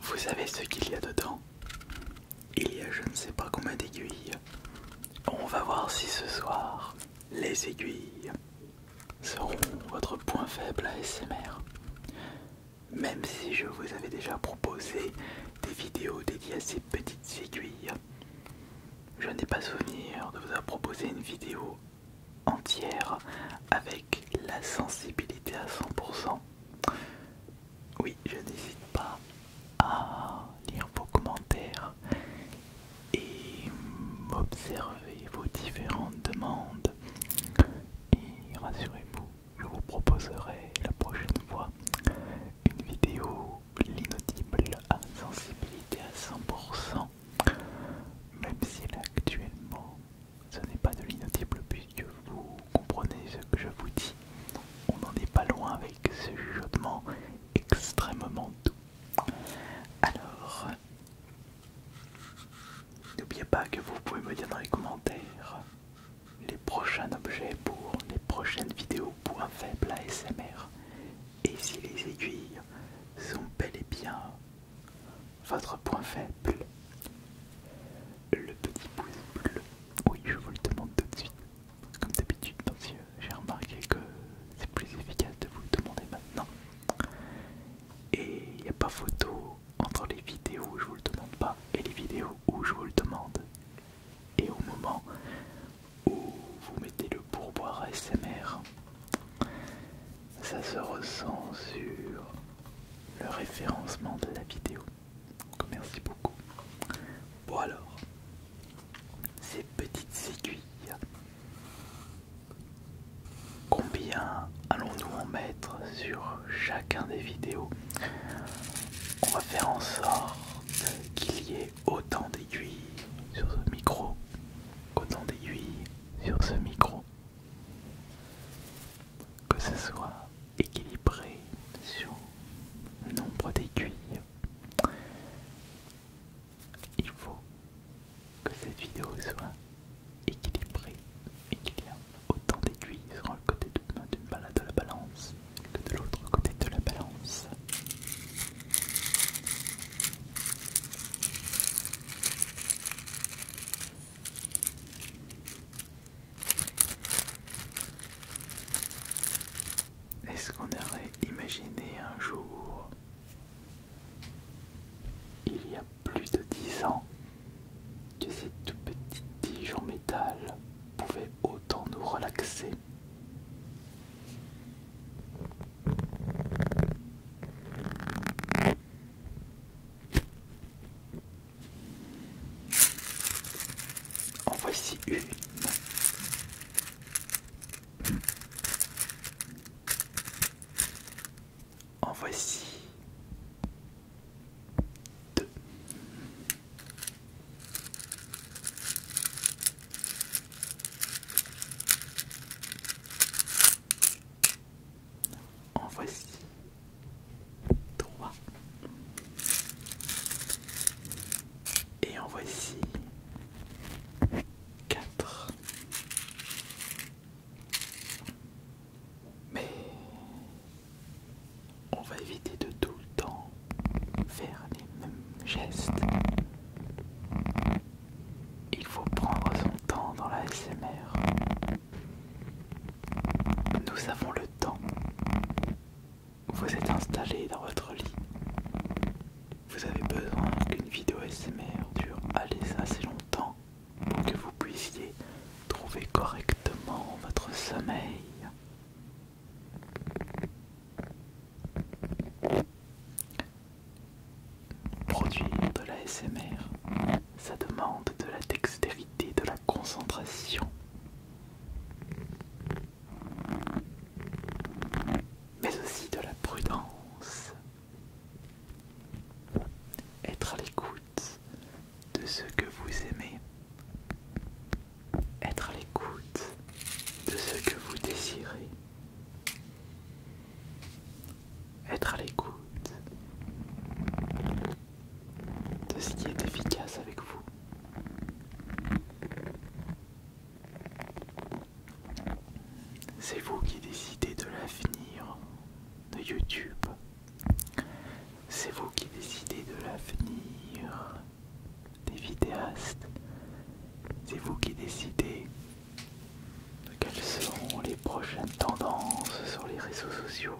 Vous savez ce qu'il y a dedans Il y a je ne sais pas combien d'aiguilles. On va voir si ce soir les aiguilles seront votre point faible à Même si je vous avais déjà proposé des vidéos dédiées à ces petites aiguilles, je n'ai pas souvenir de vous avoir proposé une vidéo entière avec la sensibilité à 100%. Oui, je n'hésite pas à lire vos commentaires et observer vos différentes demandes. Et rassurez-vous, je vous proposerai la prochaine fois une vidéo l'inaudible à sensibilité à 100%, même si actuellement ce n'est pas de l'inaudible puisque vous comprenez ce que je vous dis. On n'en est pas loin avec ce chuchotement extrêmement doux. Alors, n'oubliez pas que vous pouvez me dire dans les commentaires les prochains objets pour les prochaines vidéos point faible ASMR. Et si les aiguilles sont bel et bien votre point faible, le petit pouce bleu, oui je vous le demande tout de suite, comme d'habitude parce j'ai remarqué que c'est plus efficace de vous le demander maintenant. Et il n'y a pas photo entre les vidéos où je vous le demande pas et les vidéos où je vous le demande. Et au moment où vous mettez le pourboire SMR, ça se ressent sur le référencement de la vidéo. Donc merci beaucoup. Bon alors, ces petites aiguilles, combien allons-nous en mettre sur chacun des vidéos on va faire en sorte qu'il y ait autant d'aiguilles sur ce micro qu'autant d'aiguilles sur ce micro que ce soit équilibré sur le nombre d'aiguilles il faut que cette vidéo soit équilibrée et qu'il y ait autant d'aiguilles sur le côté de, balade de la balance que de l'autre côté de la balance. Est-ce qu'on aurait imaginé un jour, il y a plus de dix ans, que cette tout petite tige en métal pouvez autant nous relaxer. En voici une. En voici 2. En voici trois. Et en voici quatre. Mais on va éviter de tout le temps faire les mêmes gestes. Il faut prendre son temps dans la SMR. Nous avons le temps. Vous êtes installé dans votre lit. Vous avez besoin qu'une vidéo SMR dure assez longtemps pour que vous puissiez Trouver correctement votre sommeil. Produire de la SMR, ça demande de la dextérité, de la concentration. Mais aussi de la prudence. Être à l'écoute de ce que vous aimez, être à l'écoute de ce que vous désirez, être à l'écoute de ce qui est efficace avec vous. C'est vous qui décidez de l'avenir de YouTube, c'est vous qui décidez de l'avenir des vidéastes. C'est vous qui décidez de quelles seront les prochaines tendances sur les réseaux sociaux.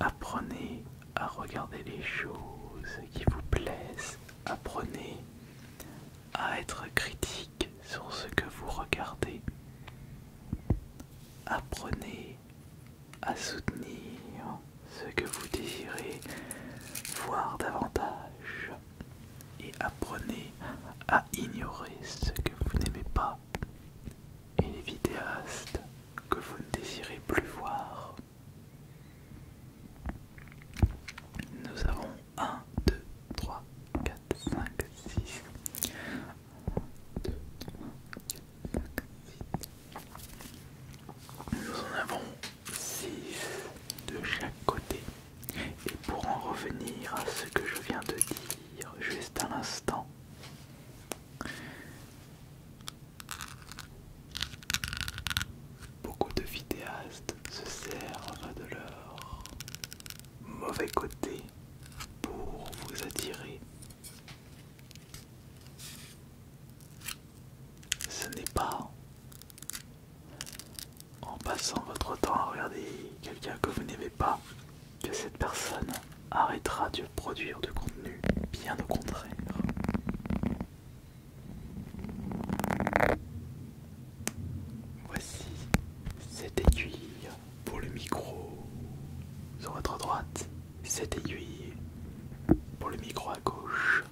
Apprenez à regarder les choses qui vous plaisent. Apprenez à être critique sur ce que vous regardez. Apprenez à soutenir ce que vous désirez voir davantage et apprenez à ignorer ce que vous n'aimez pas et les vidéastes que vous ne désirez plus voir. Nous avons 1, 2, 3, 4, 5, 6. 1, 2, 3, 4, 5, 6. Nous en avons 6 de chaque côté. Et pour en revenir à ce que je viens de dire juste à l'instant, beaucoup de vidéastes se servent de leur mauvais côté pour vous attirer. Ce n'est pas en passant votre temps à regarder quelqu'un que vous n'aimez pas que cette personne arrêtera de produire du contenu, bien au contraire. Voici cette aiguille pour le micro sur votre droite, cette aiguille pour le micro à gauche.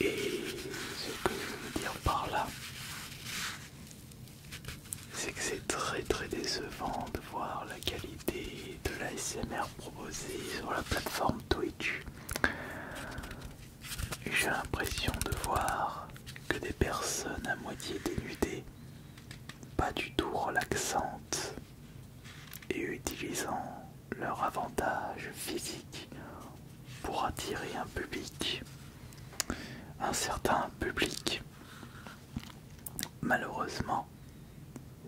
Et ce que je veux dire par là, c'est que c'est très très décevant de voir la qualité de la SMR proposée sur la plateforme Twitch. J'ai l'impression de voir que des personnes à moitié dénudées, pas du tout relaxantes, et utilisant leur avantage physique pour attirer un public, un certain public. Malheureusement,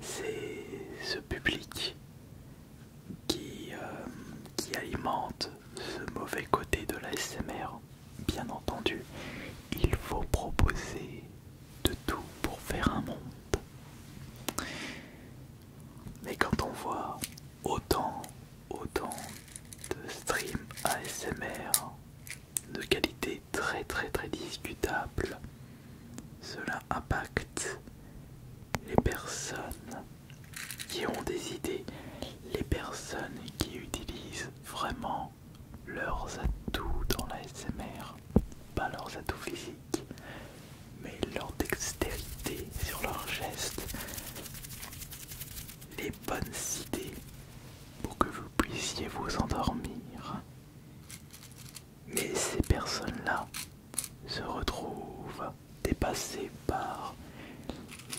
c'est ce public qui, euh, qui alimente ce mauvais côté de l'ASMR, Bien entendu, il faut proposer de tout pour faire un monde. Mais quand on voit autant, autant de streams ASMR de qualité très très très discutable, cela impacte les personnes qui ont des idées, les personnes qui utilisent vraiment leurs atouts dans la SMR, pas leurs atouts physiques, mais leur dextérité sur leurs gestes, les bonnes idées pour que vous puissiez vous endormir. Mais ces personnes-là se retrouvent dépassé par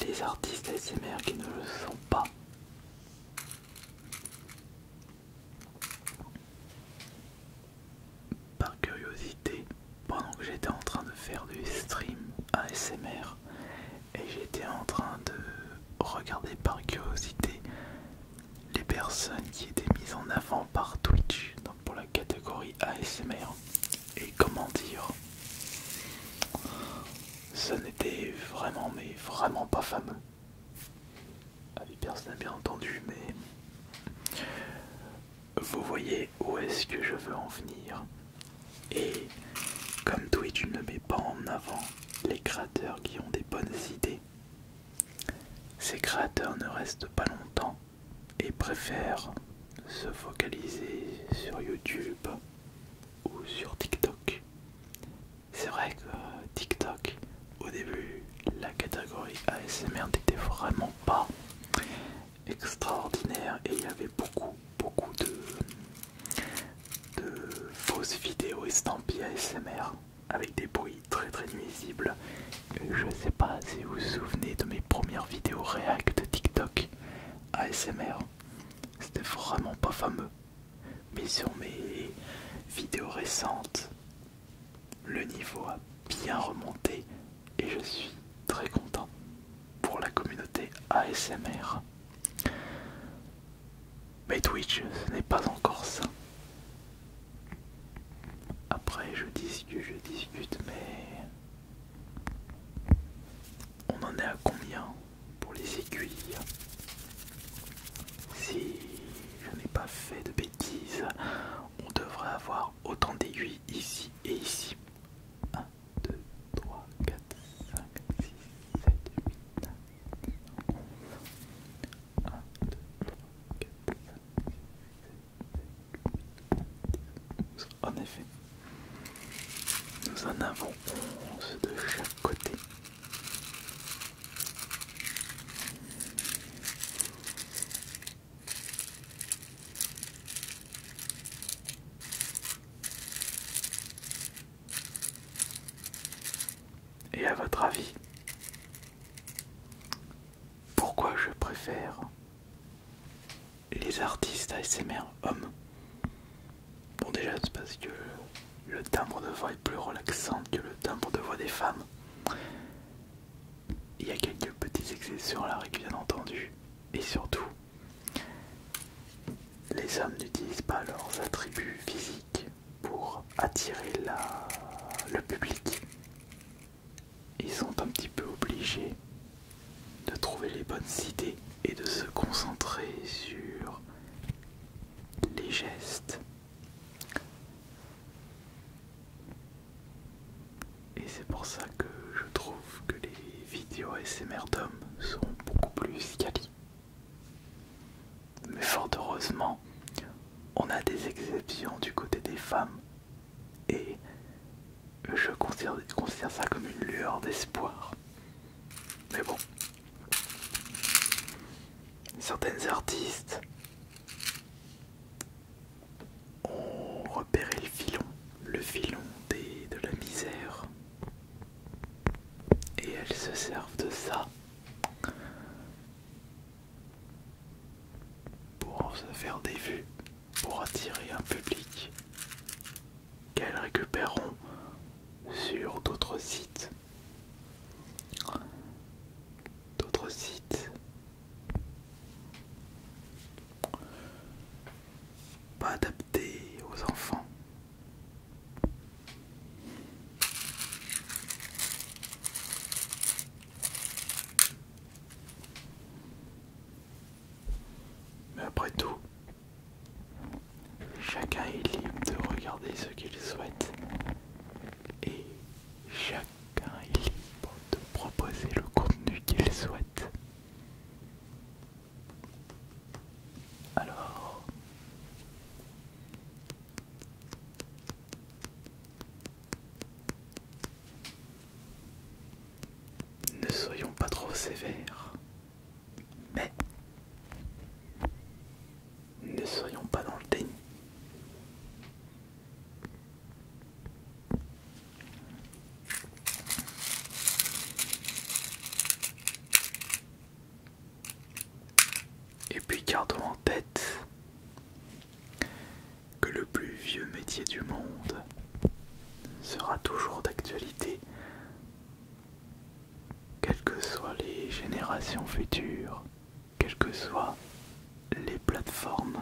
les artistes ASMR qui ne le sont pas. Par curiosité, pendant que j'étais en train de faire du stream ASMR et j'étais en train de regarder par curiosité les personnes qui étaient mises en avant par Twitch donc pour la catégorie ASMR et comment dire ça n'était vraiment mais vraiment pas fameux avec personne bien entendu mais vous voyez où est-ce que je veux en venir et comme Twitch ne met pas en avant les créateurs qui ont des bonnes idées ces créateurs ne restent pas longtemps et préfère se focaliser sur YouTube ou sur TikTok. C'est vrai que TikTok, au début, la catégorie ASMR n'était vraiment pas extraordinaire et il y avait beaucoup, beaucoup de, fausses vidéos estampillées ASMR avec des bruits très très nuisibles je sais pas si vous vous souvenez de mes premières vidéos react de TikTok ASMR. C'était vraiment pas fameux. Mais sur mes vidéos récentes, le niveau a bien remonté et je suis très content pour la communauté ASMR. Mais Twitch, ce n'est pas encore ça. Après, je discute, je discute, mais on en est à combien pour les aiguilles Si je n'ai pas fait de bêtises, on devrait avoir autant d'aiguilles ici et ici. 1, 2, 3, 4, 5, 6, 7, 8, 9, 10, 11. 1, 2, 3, 4, 5, en effet, nous en avons onze de chaque côté. Et à votre avis, pourquoi je préfère les artistes ASMR hommes. Bon déjà c'est parce que le timbre de voix est plus relaxant que le timbre de voix des femmes. Il y a quelques petits petites la règle bien entendu. Et surtout, les hommes n'utilisent pas leurs attributs physiques pour attirer le public ils sont un petit peu obligés de trouver les bonnes idées et de se concentrer sur les gestes. Et c'est pour ça que je trouve que les vidéos SMR d'hommes sont beaucoup plus qualies. Mais fort heureusement, on a des exceptions du côté des femmes et je considère, ça comme une lueur d'espoir. Mais bon, certaines artistes ont repéré le filon, le filon de la misère. Et elles se servent de ça pour se faire des vues, pour attirer un public qu'elles récupéreront sur d'autres sites. D'autres sites. Pas adaptés aux enfants. Mais après tout, chacun est libre de regarder ce qu'il souhaite et chacun est libre de proposer le contenu qu'il souhaite. Alors, ne soyons pas trop sévères, mais ne soyons pas dans le déni. Et puis gardons en tête que le plus vieux métier du monde sera toujours d'actualité, quelles que soient les générations futures, quelles que soient les plateformes.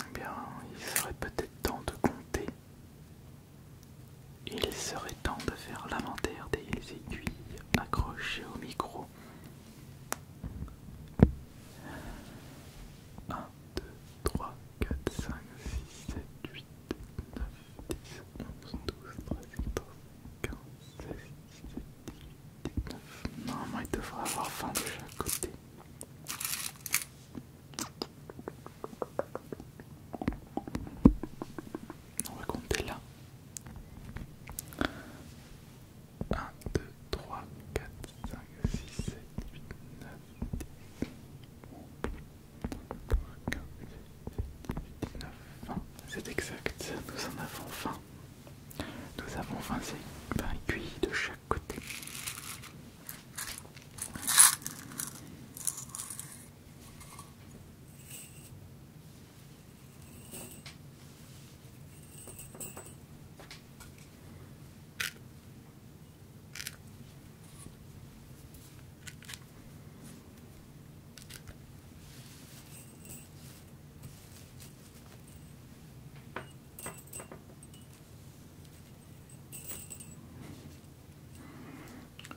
Eh bien, il serait peut-être temps de compter. Il serait temps de faire l'inventaire des aiguilles accrochées au micro. 1, 2, 3, 4, 5, 6, 7, 8, 9, 10, il devrait avoir faim de chaque côté. On va compter là. 1, 2, 3, 4, 5, 6, 7, 8, 9, 10, c'est exact, nous en avons 20. Nous avons 20 aiguilles de chaque côté.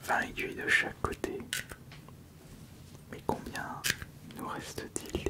20 aiguilles de chaque côté. Mais combien nous reste-t-il d'aiguilles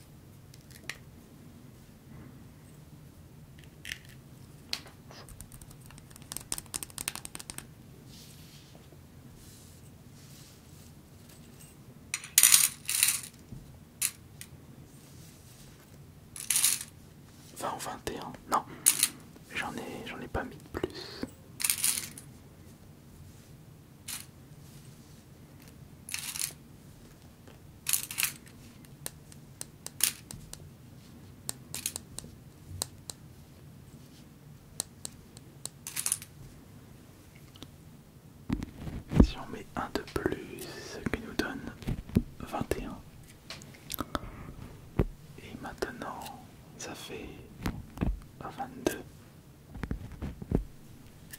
20 ou 21 Non, j'en ai, j'en ai pas mis de plus. Si on met un de plus, ce qui nous donne 21. Et maintenant, ça fait 22.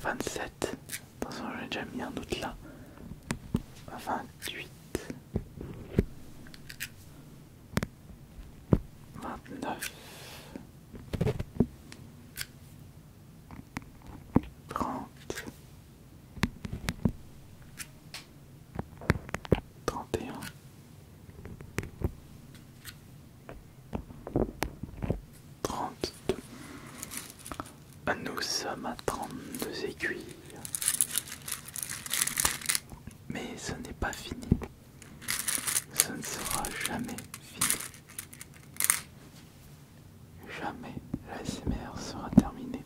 27. Attention, j'ai déjà mis un doute là. 28. 29. 30. 31 32. Ah, nous sommes à 32 aiguilles. Mais ce n'est pas fini. Ce ne sera jamais fini. Jamais la SMR sera terminée.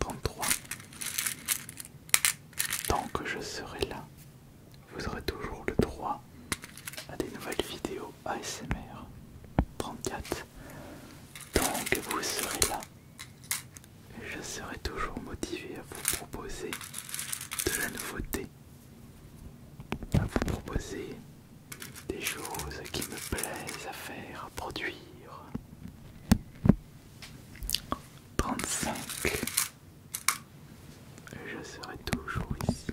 33. Tant que je serai là, vous aurez toujours le droit à des nouvelles vidéos ASMR 34 tant que vous serez là. Je serai toujours motivé à vous proposer de la nouveauté, à vous proposer des choses qui me plaisent à faire, à produire. 35 je serai toujours ici.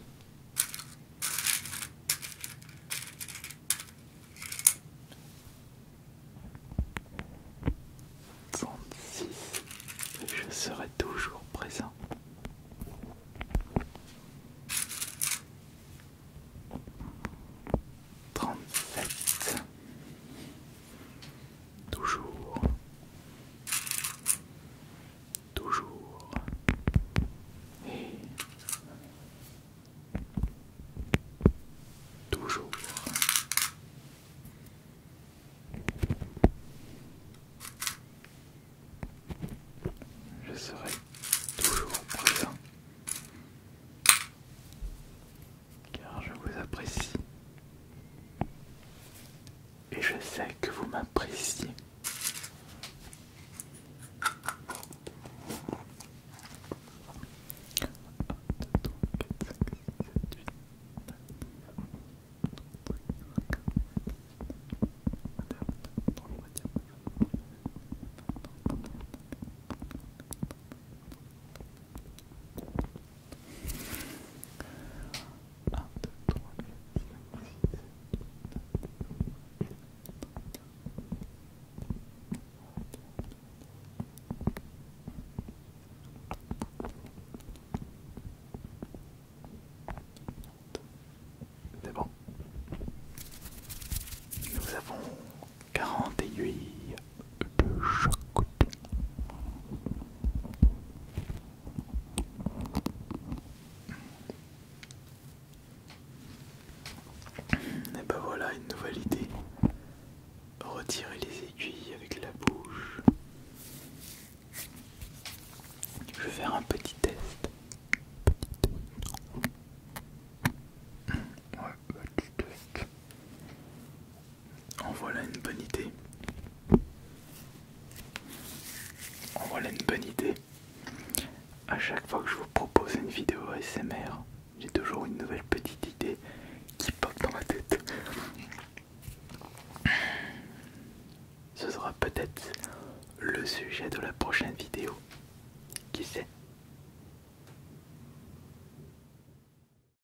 Trente-six, je serai toujours présent. Trente-sept, toujours, toujours toujours. Je serai toujours présent car je vous apprécie et je sais que vous m'appréciez. C'est bon. Nous avons 40 aiguilles de chaque côté. Et ben voilà une nouvelle idée. Retirer les aiguilles avec la bouche. Je vais faire un petit test. petit bah, test. En voilà une bonne idée. En voilà une bonne idée. À chaque fois que je vous propose une vidéo ASMR, j'ai toujours une nouvelle petite idée qui pop dans ma tête. Ce sera peut-être le sujet de la prochaine vidéo. Qui sait